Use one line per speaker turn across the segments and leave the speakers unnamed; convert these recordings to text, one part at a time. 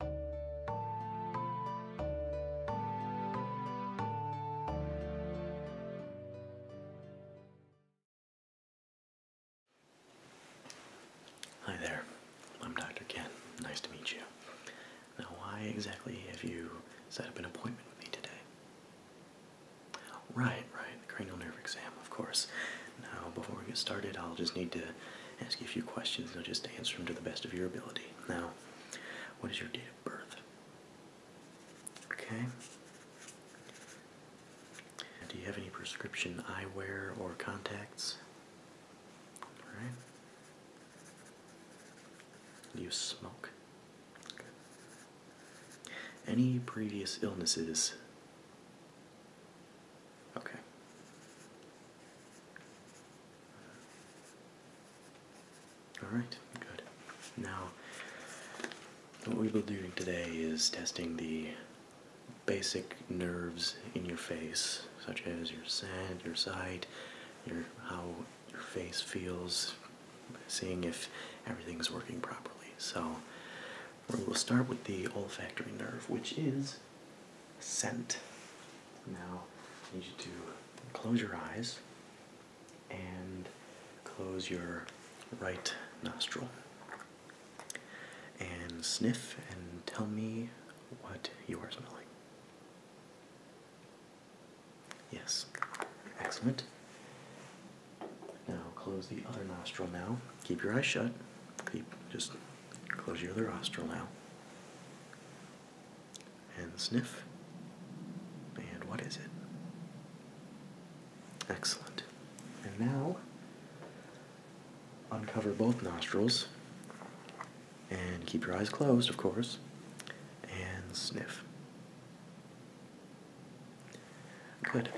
Hi there, I'm Dr. Ken. Nice to meet you. Now, why exactly have you set up an appointment with me today? Right, right, cranial nerve exam, of course. Now, before we get started, I'll just need to ask you a few questions, and I'll just answer them to the best of your ability. Now, what is your date of birth? Okay. Do you have any prescription eyewear or contacts? All right. Do you smoke? Any previous illnesses? Okay. Alright, good. Now, what we will be doing today is testing the basic nerves in your face, such as your scent, your sight, your how your face feels, seeing if everything's working properly. So, we will start with the olfactory nerve, which is scent. Now I need you to close your eyes and close your right nostril and sniff and tell me what you are smelling. Yes, excellent. Now close the other nostril now. Keep your eyes shut. Keep just Close your other nostril now. And sniff. And what is it? Excellent. And now uncover both nostrils and keep your eyes closed, of course, and sniff. Good.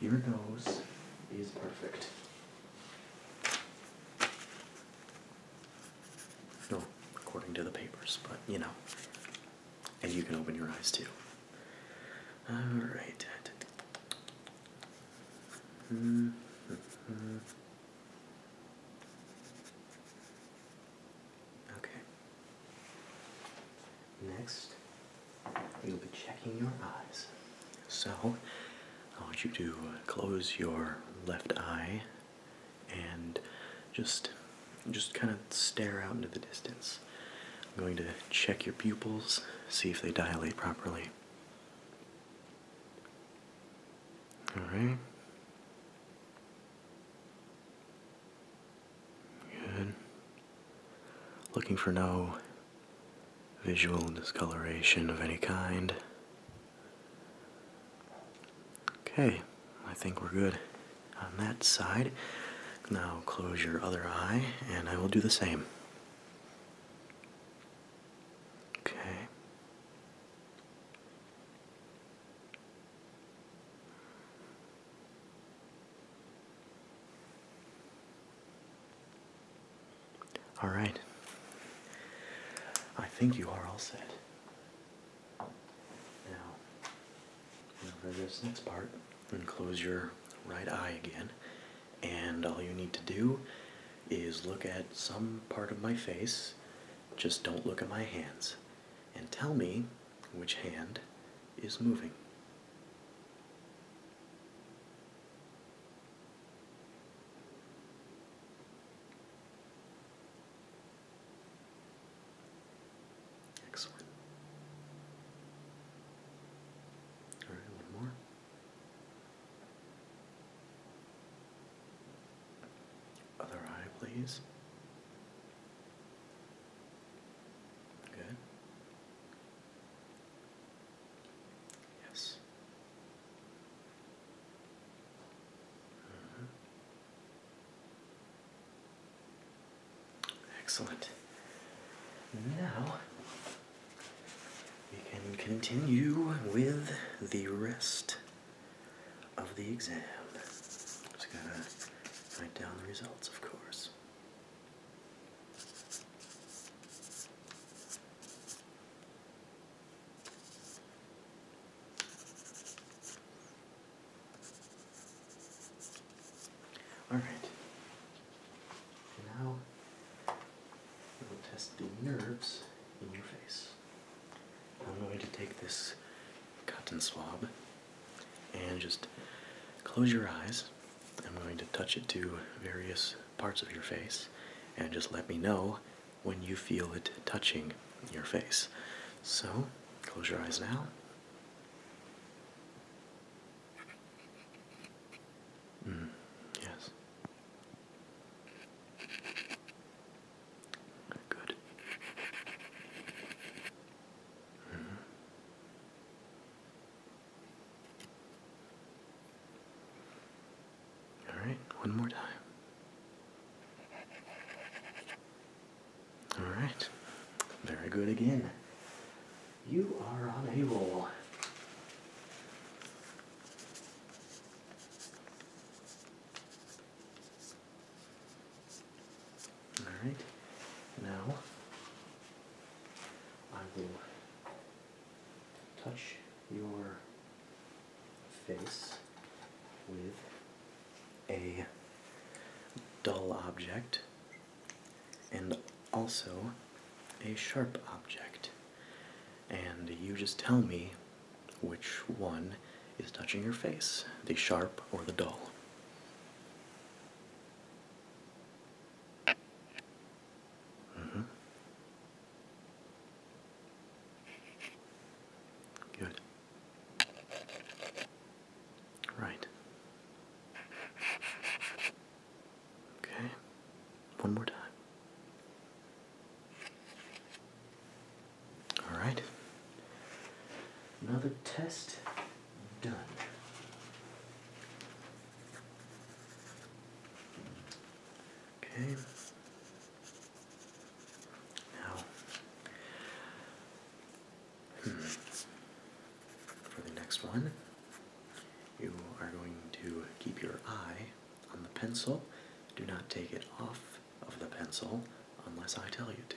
Your nose is perfect. No, according to the papers, but you know. And you can open your eyes too. Alright. Mm-hmm. Okay. Next, you'll be checking your eyes so I want you to uh, close your left eye and just just kind of stare out into the distance. I'm going to check your pupils, see if they dilate properly. All right. Good. Looking for no visual discoloration of any kind. Okay, I think we're good on that side. Now close your other eye, and I will do the same. Okay. All right. I think you are all set. Now, over this next part, and close your right eye again. And all you need to do is look at some part of my face. Just don't look at my hands. And tell me which hand is moving. Excellent. All right, one more. Other eye, please. Good. Yes. Mm-hmm. Excellent. Now we can continue with the rest of the exam. Just going to write down the results, of course. All right. Now we will test the nerves in your face. I'm going to take this cotton swab and just close your eyes. I'm going to touch it to various parts of your face and just let me know when you feel it touching your face. So close your eyes now. Mm, yes. Good. Mm-hmm. All right, one more time. All right, very good again. You are on a roll. All right, now I will touch your face with a dull object and also a sharp object. And you just tell me which one is touching your face, the sharp or the dull. Mm-hmm. Good. Right. Okay. One more time. All right. Another test done. Okay. Now, hmm. for the next one, you are going to keep your eye on the pencil. Do not take it off of the pencil unless I tell you to.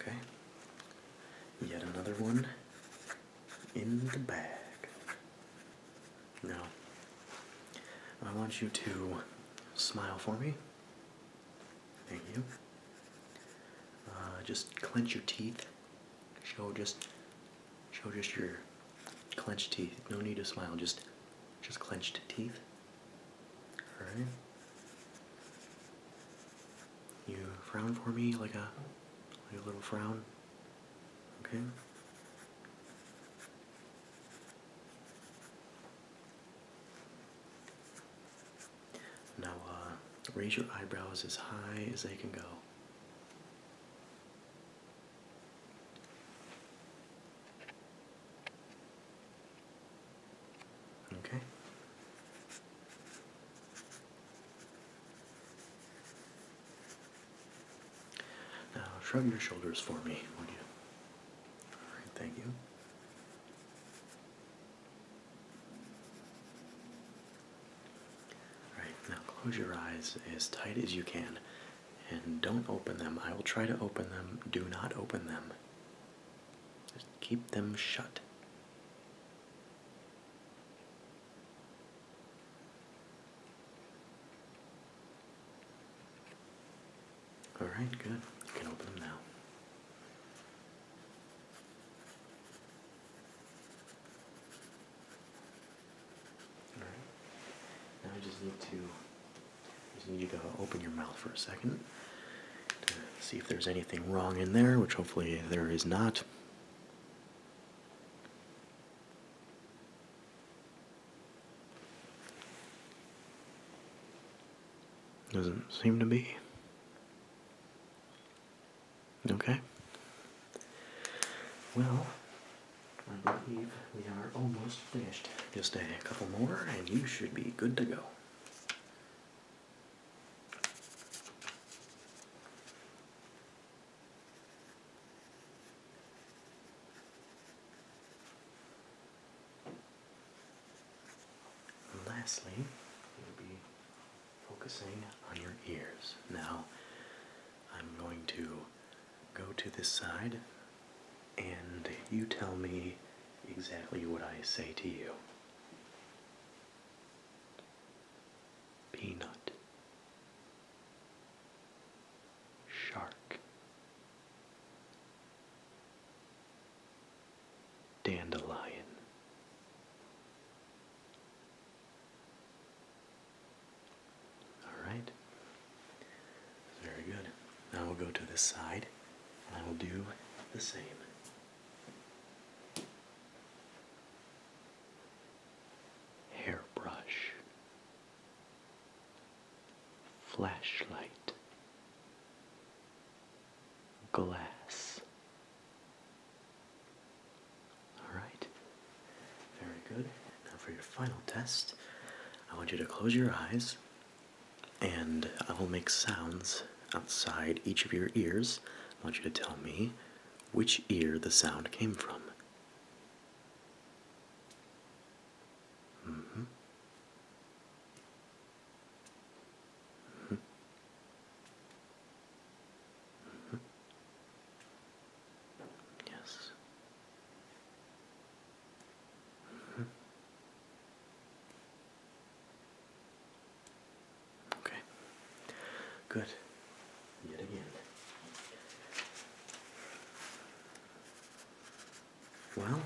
Okay. Yet another one in the bag. Now, I want you to smile for me. Thank you. Uh, just clench your teeth. Show just, show just your clenched teeth. No need to smile. Just, just clenched teeth. Alright. You frown for me like a, like a little frown. Okay? Now, uh, raise your eyebrows as high as they can go. Okay. Now shrug your shoulders for me, would you? All right, thank you. All right, now close your eyes as tight as you can and don't open them. I will try to open them. Do not open them. Just keep them shut. All right, good. You can open them now. All right. Now I just need to I just need you to open your mouth for a second to see if there's anything wrong in there, which hopefully there is not. Doesn't seem to be. Okay. Well, I believe we are almost finished. Just a couple more, and you should be good to go lastly, we'll be focusing on your ears. Now, I'm going to go to this side and you tell me exactly what I say to you. Peanut Shark Dandelion all right, very good. Now we'll go to this side and I will do the same hairbrush, flashlight, glass. All right, very good. Now for your final test, I want you to close your eyes and I will make sounds outside each of your ears. I want you to tell me which ear the sound came from. Mm-hmm. Mm-hmm. Mm-hmm. Yes. Okay. Good. Yet again. Well,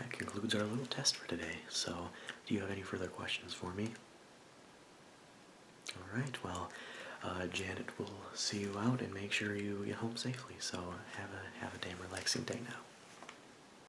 that concludes our little test for today. So, do you have any further questions for me? All right. Well, uh, Janet will see you out and make sure you get home safely. So have a have a damn relaxing day now.